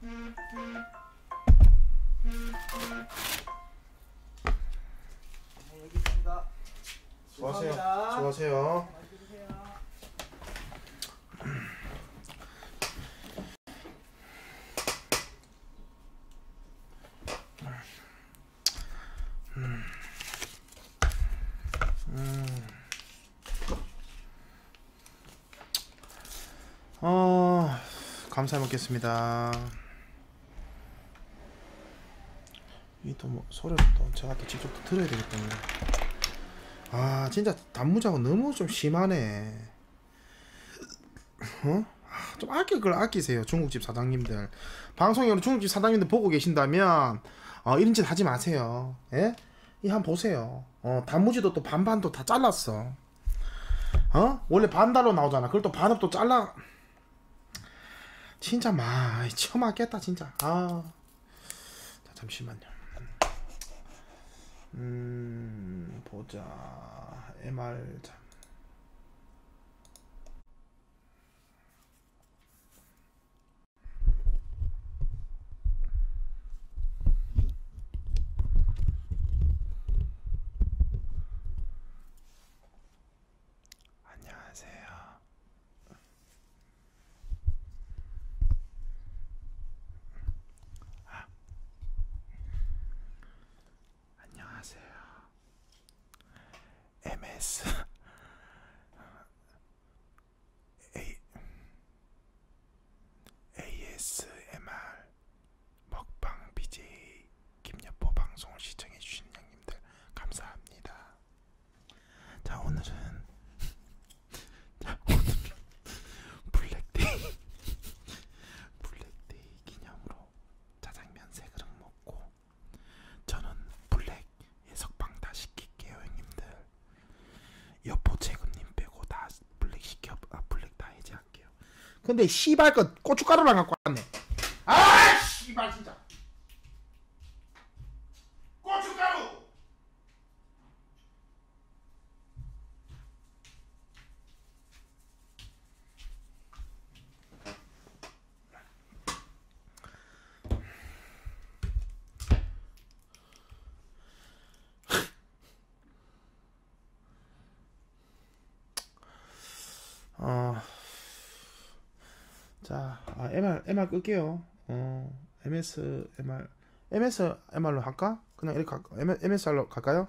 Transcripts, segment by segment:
네, 여기 있습니다. 수고하세요. 감사합니다. 수고하세요. 맛있게 드세요. 어... 감사 먹겠습니다 이 또뭐 소리를 또 제가 또 직접 또 들어야 되기 때문에 아 진짜 단무지하고 너무 좀 심하네 어? 아, 좀 아낄 걸 아끼세요 중국집 사장님들 방송으로 중국집 사장님들 보고 계신다면 어, 이런 짓 하지 마세요 예? 이 한 보세요 어, 단무지도 또 반반도 다 잘랐어. 어? 원래 반달로 나오잖아. 그걸 또 반업 도 잘라. 진짜 마, 처맞겠다 진짜. 아, 자, 잠시만요. 음, 보자. MR 자. 안녕하세요. 아. 안녕하세요. MS A ASMR 먹방 BJ 김여포 방송을 시청해주신 형님들 감사합니다. 자 오늘은 자 오늘은 블랙데이 블랙데이 기념으로 짜장면 세 그릇 먹고 저는 블랙 예석방 다 시킬게요 형님들. 여포 재근님 빼고 다 블랙 시켜 아 블랙 다 해제할게요 근데 씨발 거 고춧가루랑 갖고 왔네 아 씨발 진짜 고춧가루 어, 자, 아, MR, MR 끌게요. 어, MS, MR, MS, MR로 할까? 그냥 이렇게 할까? MS 로 갈까요?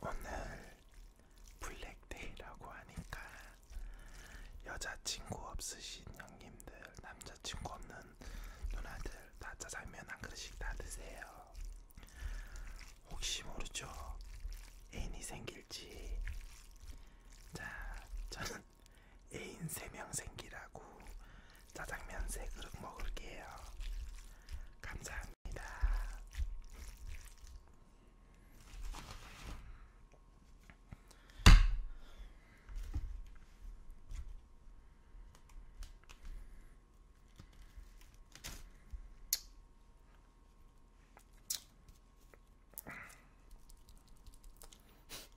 오늘 블랙데이라고 하니까 여자친구 없으신 형님들, 남자친구 없는 누나들 다 짜장면 한 그릇씩 다 드세요. 혹시 모르죠? 애인이 생길지. 자, 저는 애인 3명 생기라고 짜장면 3그릇 먹을게요. 감사합니다.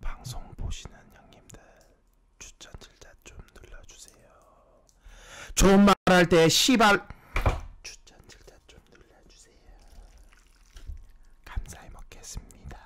방송 보시는 형님들 추천 질자 좀 눌러주세요. 좋은 말 할때 시발 추천 질자 좀 눌러주세요. 감사히 먹겠습니다.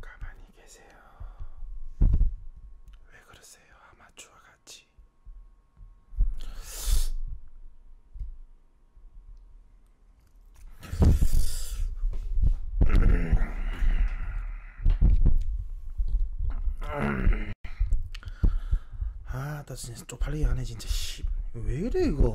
가만히 계세요. 왜 그러세요? 아마추어 같이. 거지. 아, 나 진짜 쪽팔리게 하네, 진짜. 씨. 왜 이래, 이거.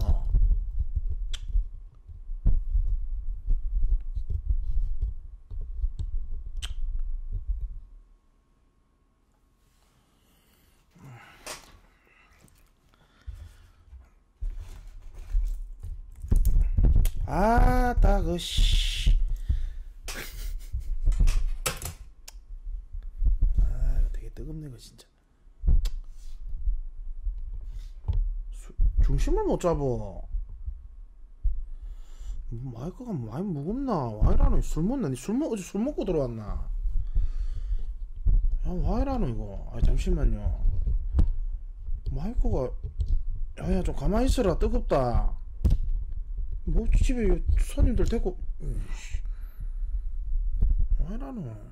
아, 따그 씨. 아, 이거 되게 뜨겁네 이거 진짜. 수, 중심을 못 잡어. 마 뭐, 마이크가 많이 무겁나? 와이라노 술 먹나? 니술 먹, 어제 술 먹고 들어왔나? 야, 와이라노 이거. 아, 잠시만요. 마이크가, 야, 야, 좀 가만히 있어라. 뜨겁다. 뭐, 집에 손님들 데리고, 으이씨. 와이라노.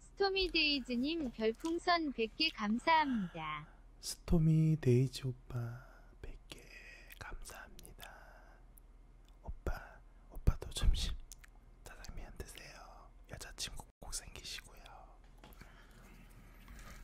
스토미데이즈님 별풍선 100개 감사합니다. 스토미 데이지 오빠 100개 감사합니다. 오빠, 오빠도 점심 짜장면 드세요. 여자친구 꼭 생기시고요.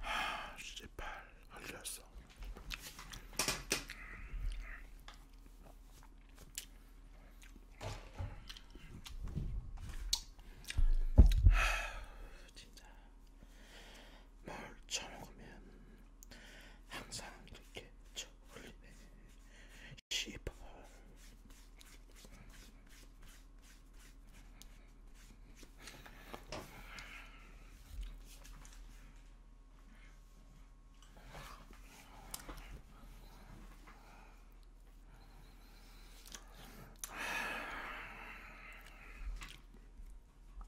하, 씨발 흘렸어. 하, 진짜 뭘 처먹으면 항상 이렇게 졸리네 씨발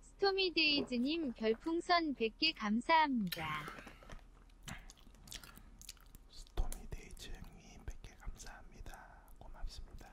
스토미데이즈님 별풍선 100개 감사합니다. 스토미데이즈 형님 100개 감사합니다. 고맙습니다.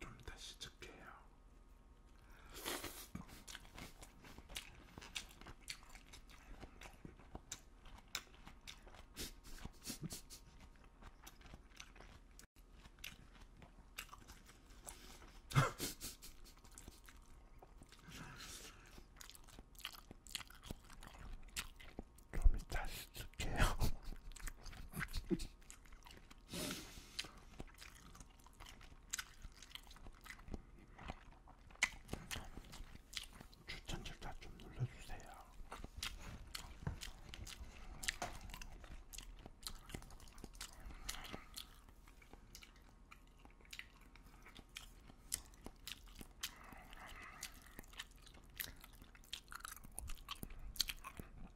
좀 다시 찍게요. 좀 이따 시킬게요. 추천 절차 좀 눌러주세요.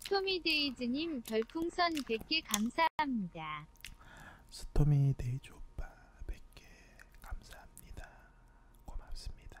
스토미데이즈님 별풍선 100개 감사합니다. 스토미데이즈 오빠 100개 감사합니다. 고맙습니다.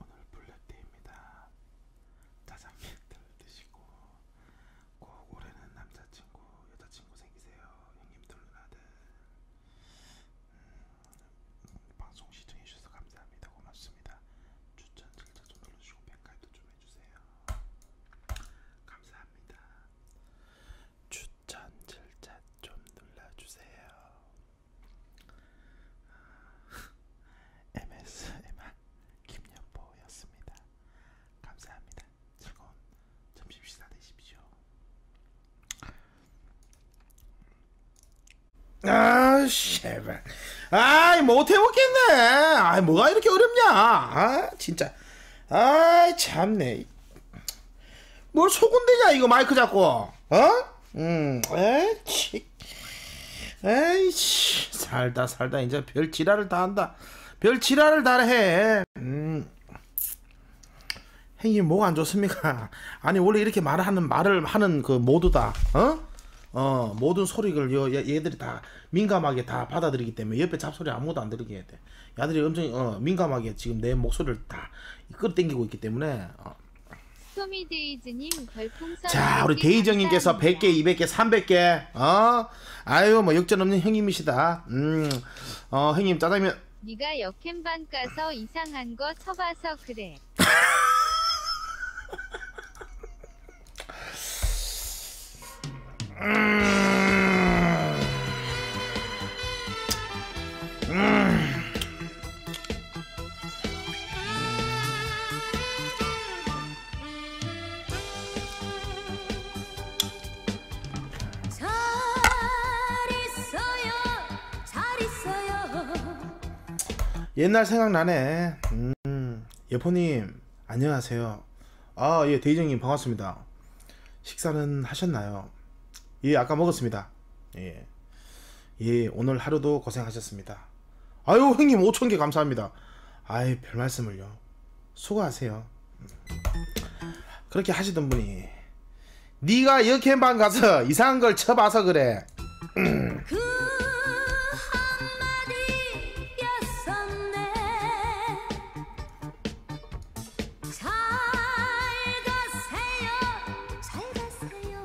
오늘 블랙데이입니다. 짜장면 드시고 꼭 올해는 남자친구, 여자친구 생기세요. 형님들 누나들. 음, 방송 시청해주셔서 감사합니다. 고맙습니다. 추천 슬쩍 좀 눌러주시고 평가도 좀 해주세요. 감사합니다. 추천 질자 좀 눌러주세요. MSMR 아, 김연보였습니다. 감사합니다. 즐거운 점심 식사 되십시오. 아, 씨발. 아이, 못해먹겠네. 아이, 뭐가 이렇게 어렵냐. 아, 진짜. 아이, 참네. 뭘 속은대냐, 이거 마이크 잡고. 어? 음, 에이, 에이씨. 살다, 살다. 이제 별 지랄을 다 한다. 별 지랄을 다 해. 음. 행님 뭐가 안 좋습니까? 아니 원래 이렇게 말하는 말을 하는 그 모두다. 어? 어, 모든 소리를 요, 얘들이 다 민감하게 다 받아들이기 때문에 옆에 잡소리 아무도 안 들리게 해야 돼. 야들이 엄청 어, 민감하게 지금 내 목소리를 다 끌어당기고 있기 때문에 어. 소미데이즈님 별풍선 자 우리 데이정님께서 100개, 200개, 300개 어? 아유 뭐 역전 없는 형님이시다 음, 어 형님 짜장면 네가 역캠방 가서 이상한 거 쳐봐서 그래 음... 음... 잘 있어요 잘 있어요 옛날 생각나네 음, 예포님 안녕하세요 아예 데이정님 반갑습니다 식사는 하셨나요? 예 아까 먹었습니다 예, 예 오늘 하루도 고생하셨습니다 아유 형님 5천개 감사합니다 아이 별말씀을요 수고하세요 그렇게 하시던 분이 네가 역행방 가서 이상한 걸 쳐봐서 그래 그잘 가세요, 잘 가세요.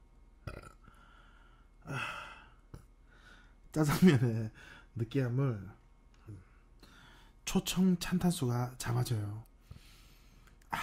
아, 짜장면의 느끼함을 초청 찬탄수가 잡아줘요. 아,